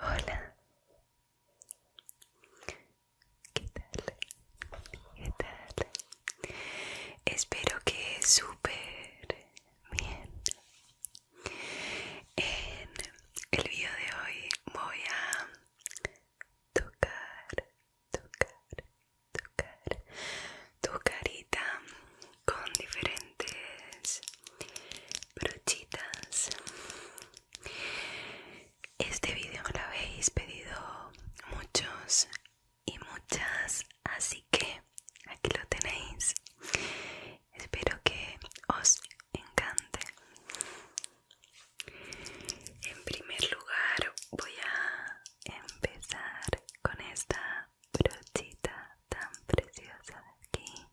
Hola, ¿qué tal? ¿Qué tal? Espero que súper Bien. En el video de hoy voy a tocar, tocar, tocar tu carita con diferentes brochitas. Este vídeo lo habéis pedido muchos y muchas, así que aquí lo tenéis espero que os encante en primer lugar voy a empezar con esta brochita tan preciosa de aquí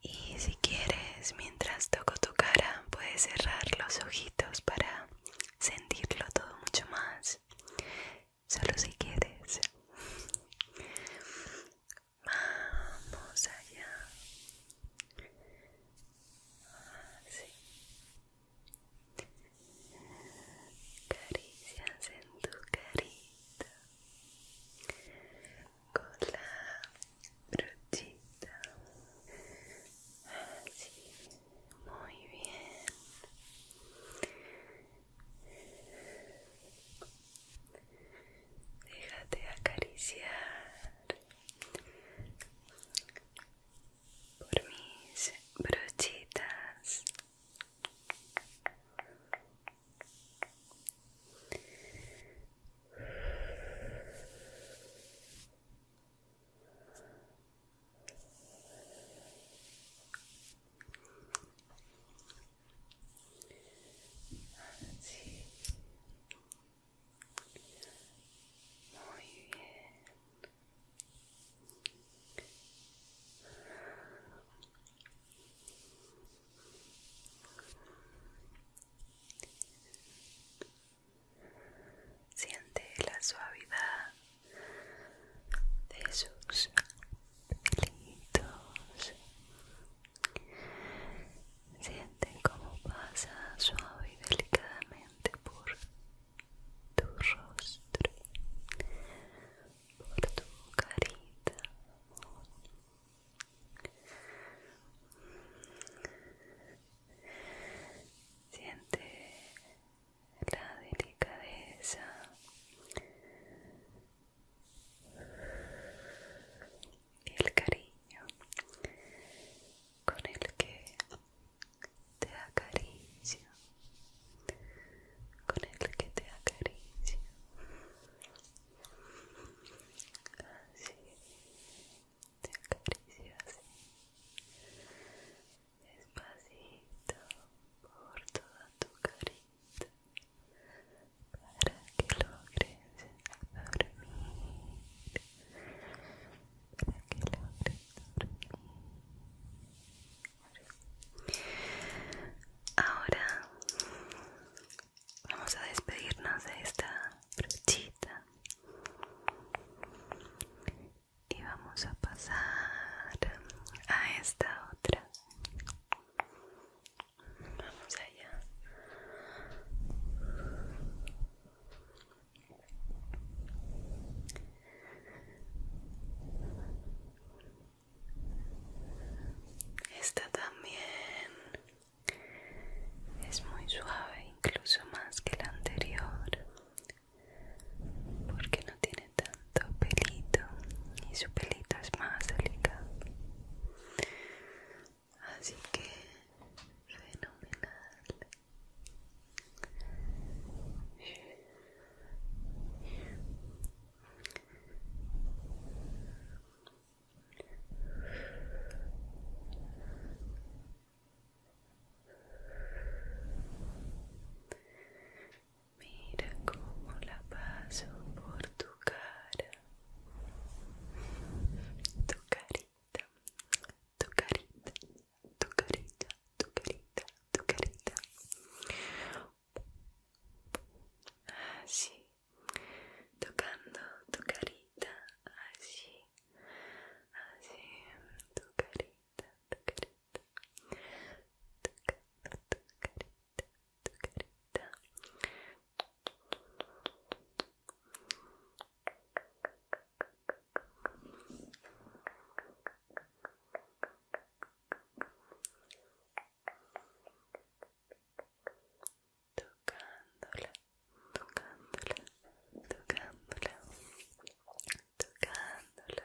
y si quieres, mientras toco tu cara, puedes cerrar los ojitos para sentirlo todo mucho más. Solo si quieres. Vamos allá. Así. Ah, Caricias en tu carita con la brochita así muy bien déjate acariciar por mis brochitas Let's see. More you in. Siente la suavidad de sus pelitos. Siente cómo pasa suave y delicadamente por tu rostro, por tu carita. Siente la delicadeza y el cariño con el que te acaricio, con el que te acaricio así te acaricio así despacito por toda tu carita para que logres dormir para que logres dormir ahora Vamos a despedirnos de esta brochita y vamos a pasar a esta otra. Vamos allá. Esta también es muy suave incluso más que la anterior porque no tiene tanto pelito y su pelito es más delicado así que fenomenal Mira cómo la paso por tu cara, tu carita, tu carita, tu carita, tu carita, tu carita. Así tocando tu carita así así tu carita tu carita tocando tu carita tu carita tocándola, tocándola, tocándola, tocándola.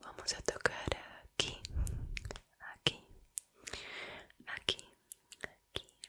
Vamos a tocar aquí, aquí, aquí, aquí,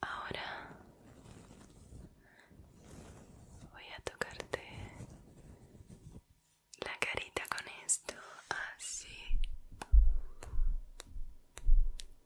Ahora voy a tocarte la carita con esto así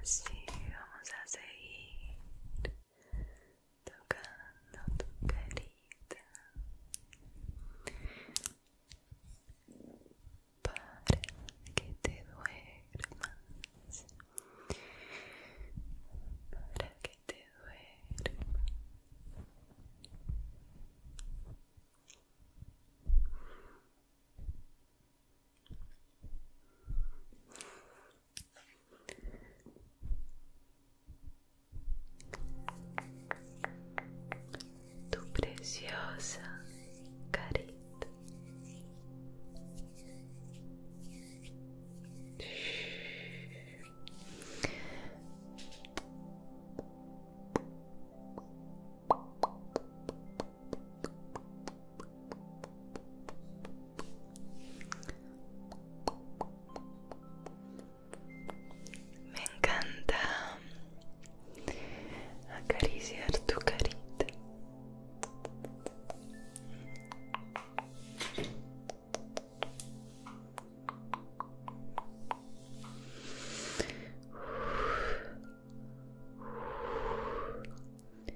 Así vamos a seguir tocando tu carita para que te duermas para que te duermas tu preciosa carita me encanta acariciar tu carita.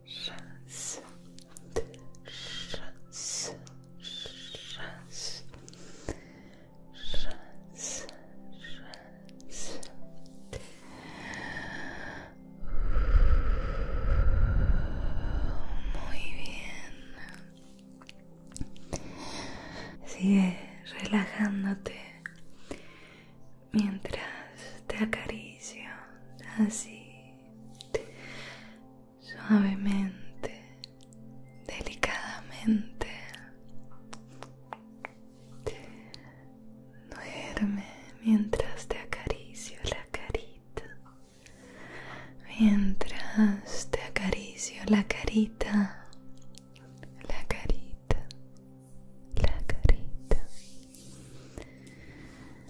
Muy bien. Sigue relajándote mientras te acaricio así suavemente, delicadamente. Duerme mientras te acaricio la carita. Mientras te acaricio la carita. La carita. La carita.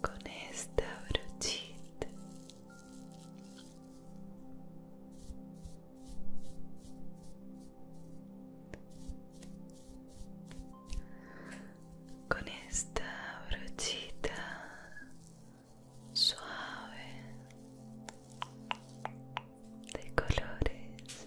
con esta brochita con esta brochita suave de colores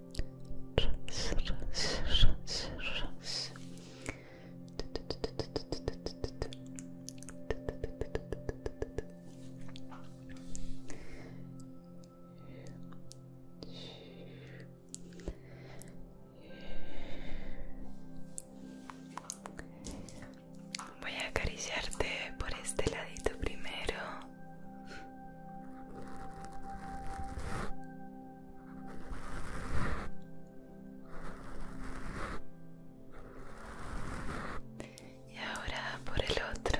Voy a acariciarte por este ladito primero. Y ahora por el otro.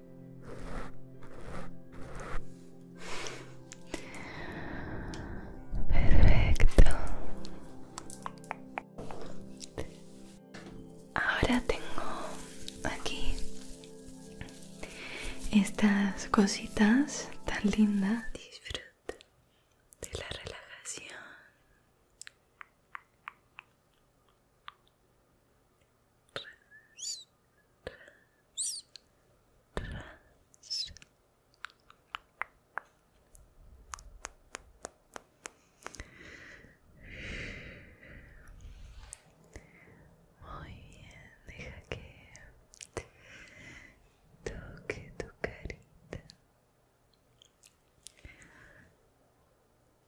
Perfecto. Ahora tengo aquí estas cositas tan lindas. Disfruta de la relajación. trans, trans, trans. Muy bien, deja que toque tu carita.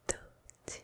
Toque,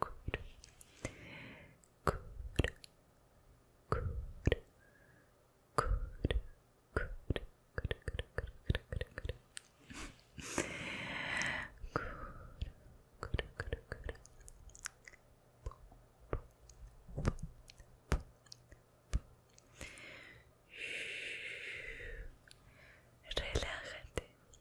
cura, cura,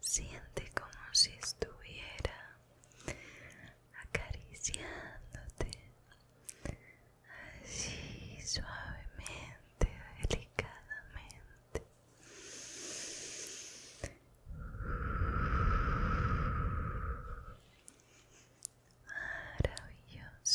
Siente como si estuviera acariciándote así suavemente, delicadamente. Maravilloso.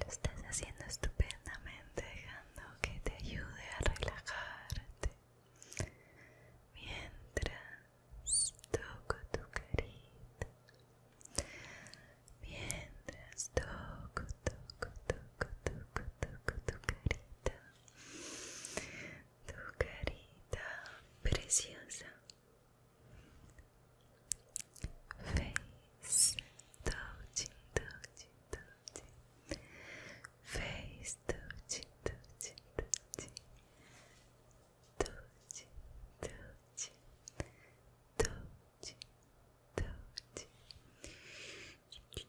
Lo estás haciendo estupendamente, dejando que te ayude a relajarte. Mientras toco tu carita. Mientras toco, toco, toco, toco, toco tu carita. Tu carita preciosa. face touching, touching, touching, face touching, touching, touching, touching, touching, touching, touching.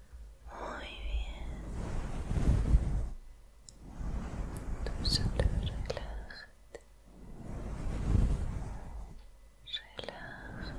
Muy bien. Tú solo relájate. Relájate.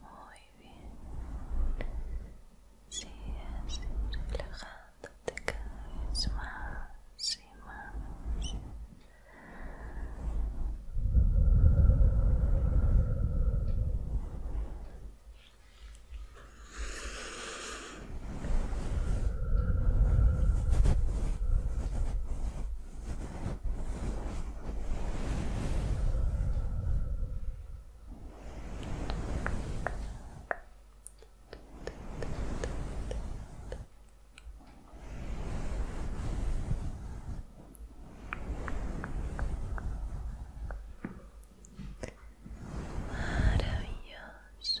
Muy bien. Sigue así, relajándote cada vez más y más. Muy Maravilloso.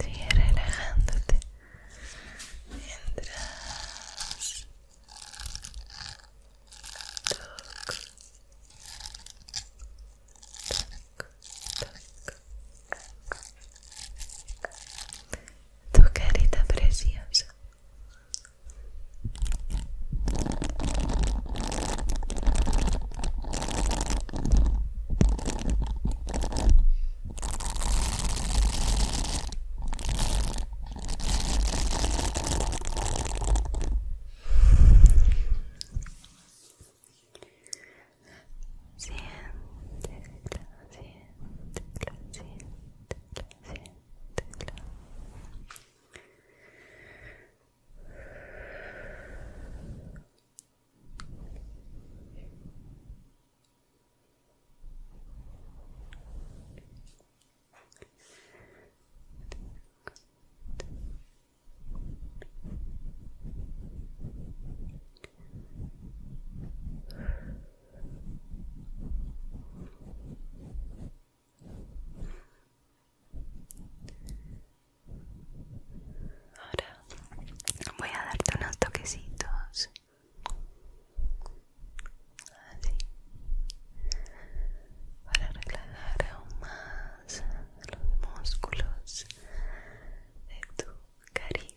Sigue relajándote mientras toco, toco, tu carita preciosa siéntela, siéntela, siéntela, siéntela. Siéntela, Ahora voy a darte unos toquecitos. Así. Para relajar aún más los músculos de tu cariño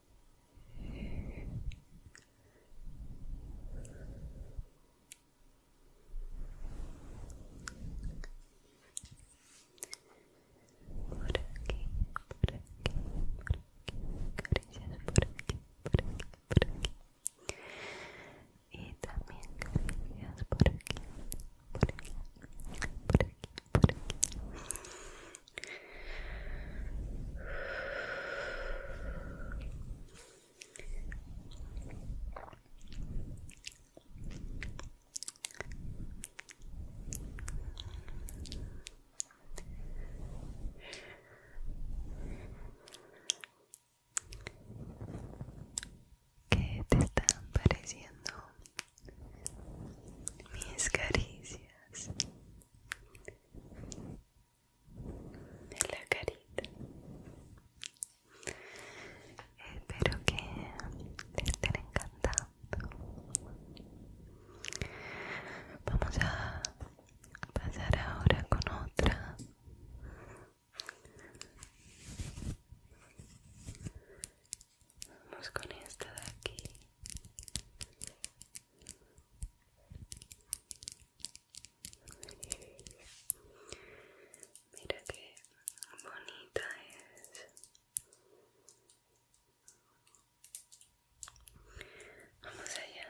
Por aquí, por aquí, por aquí, caricias por aquí, por aquí, por aquí. Y también caricias por aquí, por aquí, por aquí, por aquí. ¿Qué te están pareciendo mis caricias? la carita espero que te estén encantando vamos a pasar ahora con otra Vamos con esta de aquí. Mira qué bonita es. Vamos allá.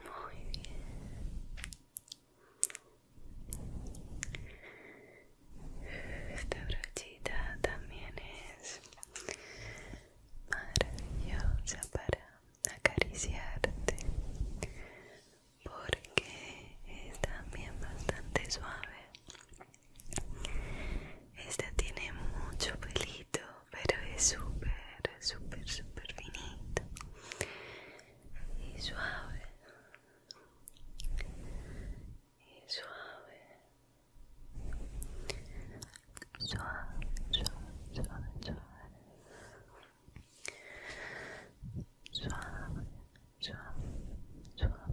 Muy bien. Esta brochita también es maravillosa para acariciarte porque es también bastante suave. Esta tiene mucho pelito, pero es súper, súper, súper finita. y suave y suave suave suave suave suave suave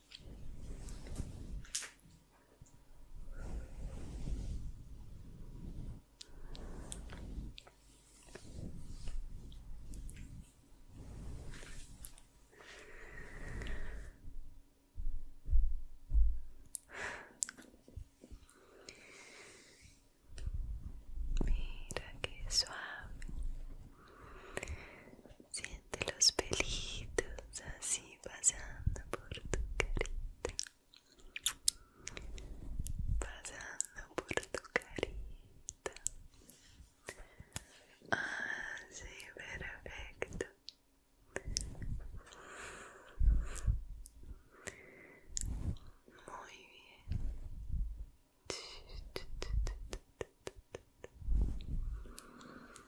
Mira que suave de los pelitos así pasando por tu carita pasando por tu carita sí, perfecto muy bien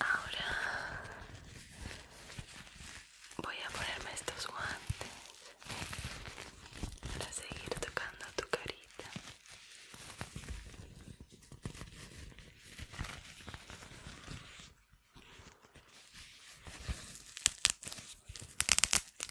Ahora voy a ponerme estos guantes para seguir tocando tu carita.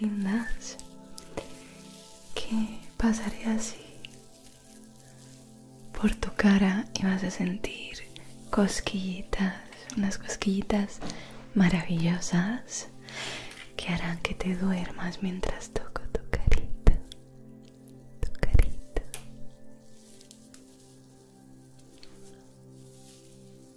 lindas que pasaré así por tu cara y vas a sentir cosquillitas, unas cosquillitas maravillosas que harán que te duermas mientras toco tu carita, tu carita.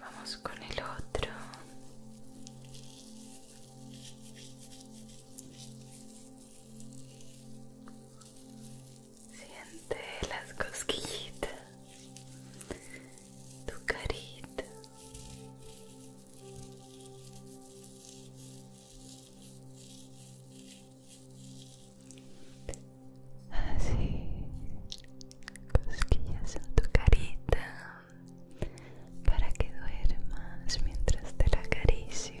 Vamos con el otro. Siente las cosquillitas, tu carita así cosquillas en tu carita para que duermas mientras te la acaricio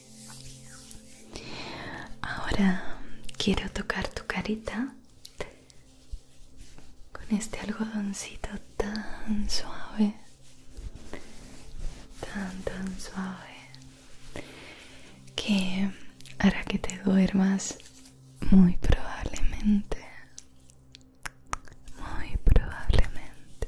Ahora quiero tocar tu carita con este algodoncito tan suave, tan tan suave, que hará que te duermas muy probablemente, muy probablemente.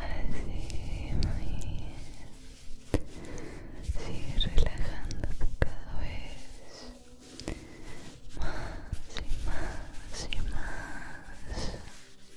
Así, muy bien. Sigue relajando cada vez más y más y más.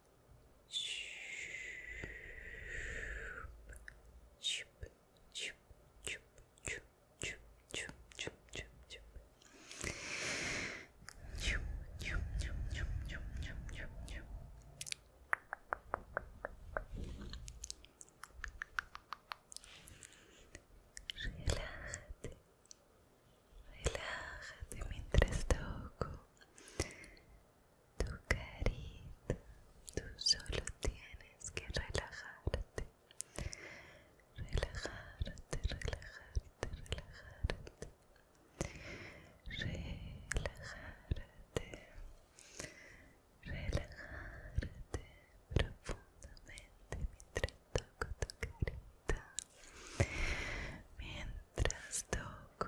Relájate, relájate mientras toco tu carita, tú solo tienes que relajarte, relajarte, relajarte, relajarte, relajarte, relajarte profundamente mientras toco tu carita, mientras toco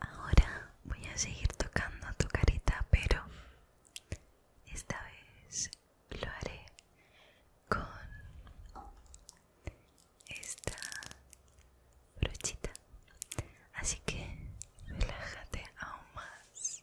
Ahora voy a seguir tocando tu carita, pero esta vez lo haré con esta brochita. Así que relájate aún más.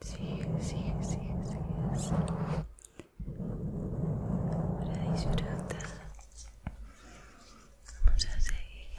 Sigue, sigue, sigue, sigue. Ahora disfruta. Vamos a seguir.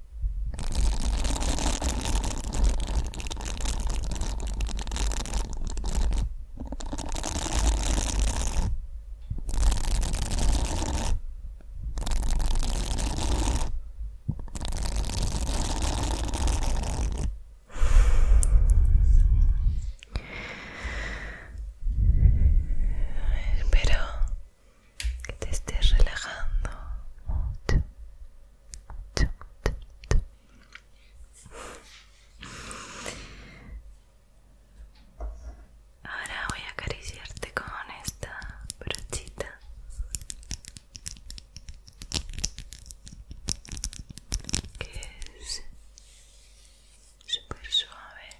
Espero que te estés relajando Ahora voy a acariciarte con esta brochita. Que es súper suave.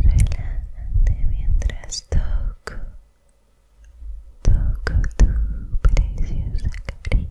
Relájate mientras toco, toco tu preciosa carita.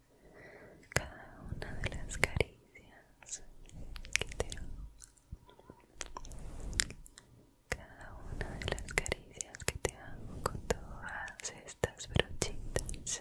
cada una de las caricias que te hago cada una de las caricias que te hago con todas estas brochitas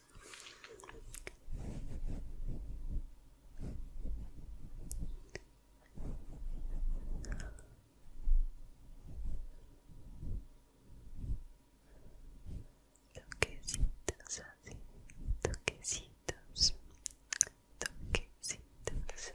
Toquecitos así, toquecitos, toquecitos.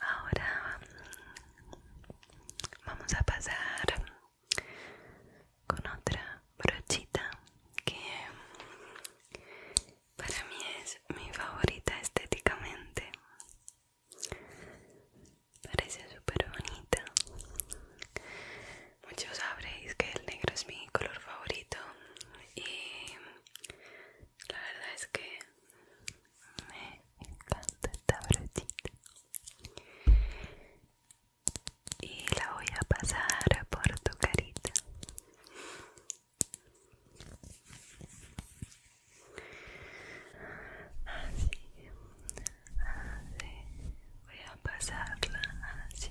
Ahora vamos a pasar con otra brochita que para mí es mi favorita estéticamente. Parece súper bonita Muchos sabréis que el negro es mi color favorito y la verdad es que me encanta esta brochita y la voy a pasar por tu carita. Así, así, voy a pasarla así.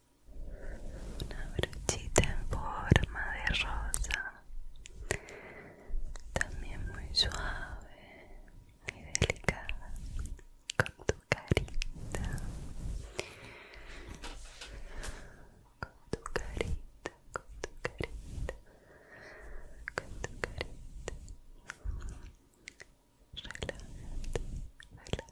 una brochita en forma de rosa también muy suave y delicada con tu carita con tu carita con tu carita con tu carita relájate relájate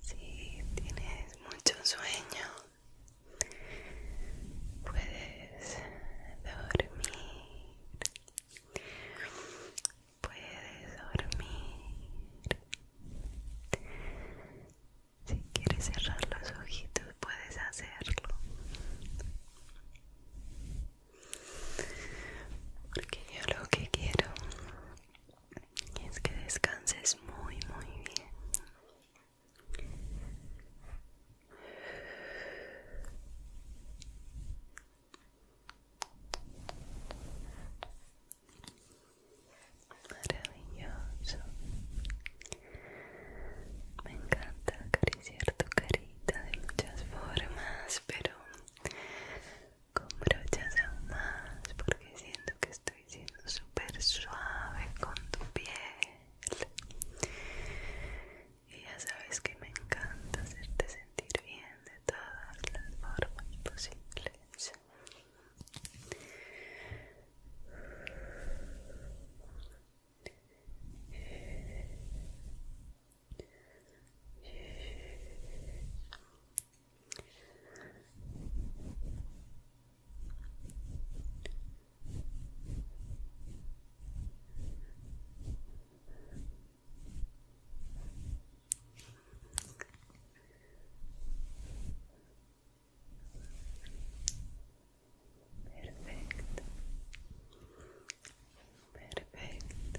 si tienes mucho sueño, puedes dormir puedes dormir. Si quieres cerrar los ojitos, puedes hacerlo. Porque yo lo que quiero es que descanses muy, muy bien. Maravilloso. Me encanta acariciar tu carita de muchas formas, pero con brochas aún más, porque siento que estoy siendo súper suave con tu piel. Y ya sabes que me encanta hacerte sentir bien de todas las formas posibles. Perfecto. Perfecto.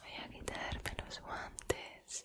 Voy a quitarme los guantes.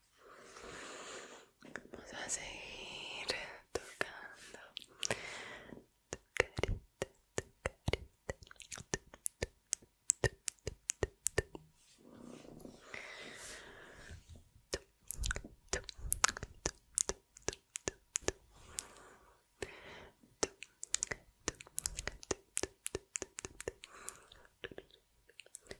Vamos a seguir tocando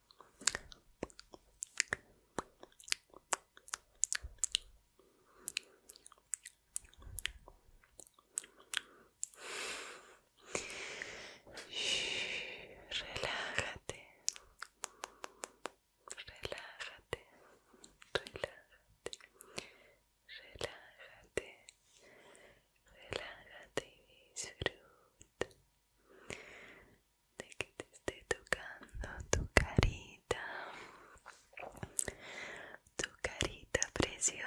Relájate, relájate, relájate, relájate, relájate y disfruta de que te esté tocando tu carita, tu carita preciosa.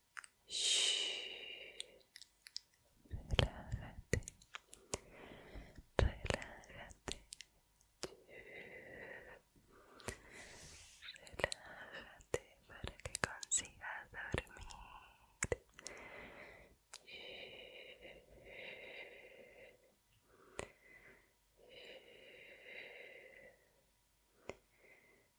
Relájate. Relájate. Relájate para que consigas dormir.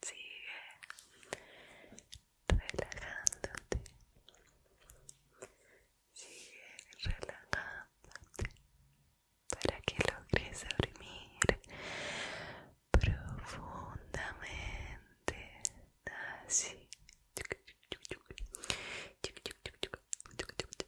Sigue relajándote. Sigue relajándote para que logres dormir profundamente. Así.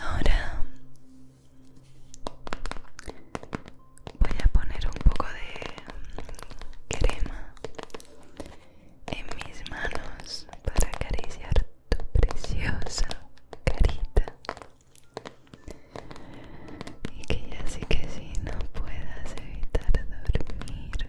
Ahora voy a poner un poco de crema en mis manos para acariciar tu preciosa carita y que ya sí que si no puedas evitar dormirte.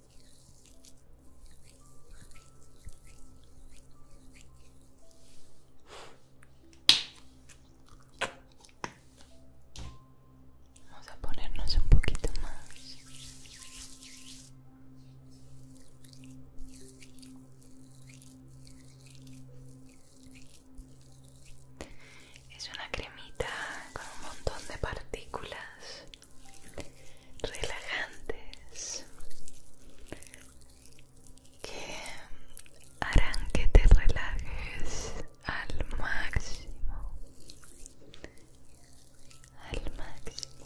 Vamos a ponernos un poquito más. Es una cremita con un montón de partículas relajantes que harán que te relajes al máximo al máximo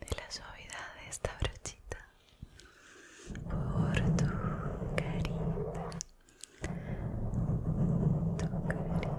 de la suavidad de esta brochita por tu carita, tu carita.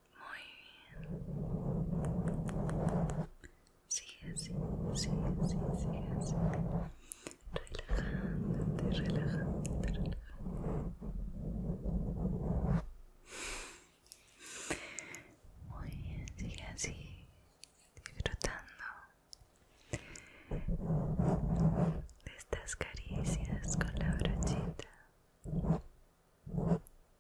Muy bien. Sigue así, sigue así, sigue así. Relajándote, relajándote, relajándote. Muy bien, sigue así, disfrutando de estas caricias con la brochita.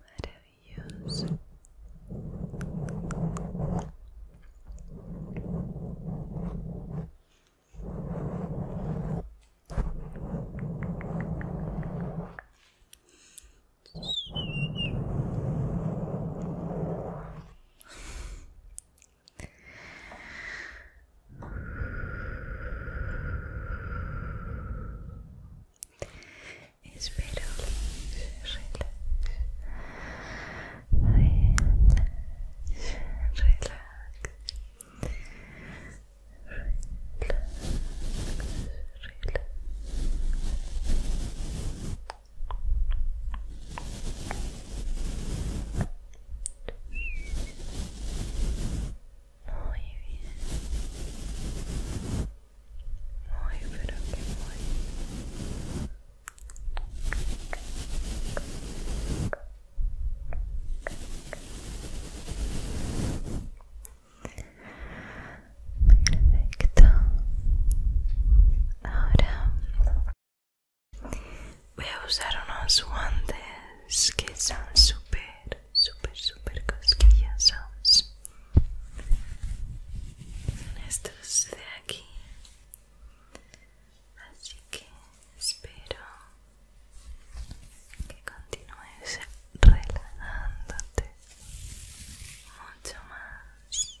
Maravilloso. Espero que muy bien. Muy, pero que muy. Perfecto. Ahora voy a usar unos guantes que son súper, súper, súper cosquillosos. Estos de aquí. Así que espero que continúes relajándote mucho más.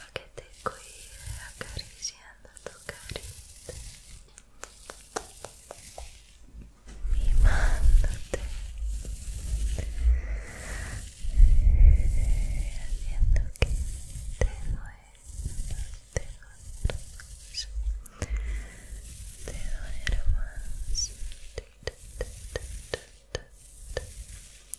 lo que te acariciando tu carita mimándote haciendo que te duermas te duermas te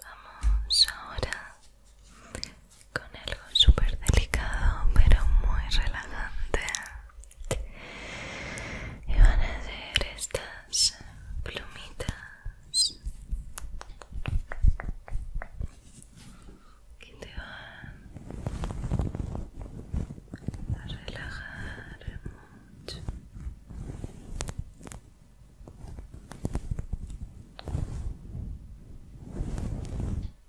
Vamos ahora con algo súper delicado pero muy relajante y van a hacer estas plumitas que te van a relajar mucho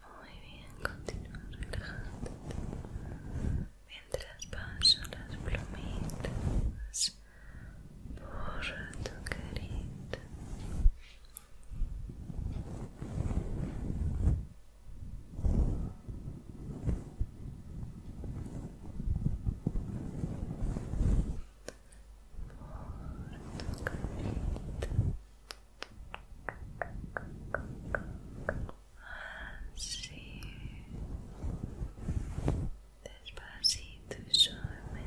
Muy bien, continúa relajándote mientras paso las plumitas por tu carita por Así. Despacito y suavemente.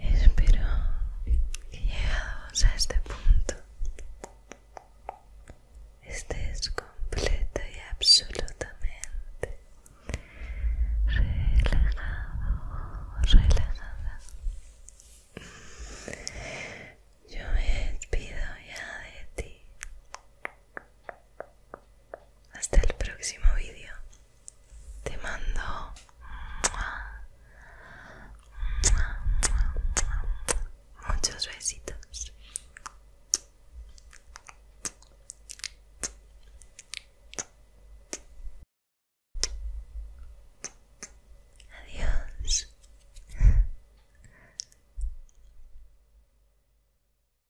Espero que llegados a este punto estés completo y absolutamente relajado, relajada. Yo me despido ya de ti. Hasta el próximo vídeo. Te mando muchos besitos. Adiós.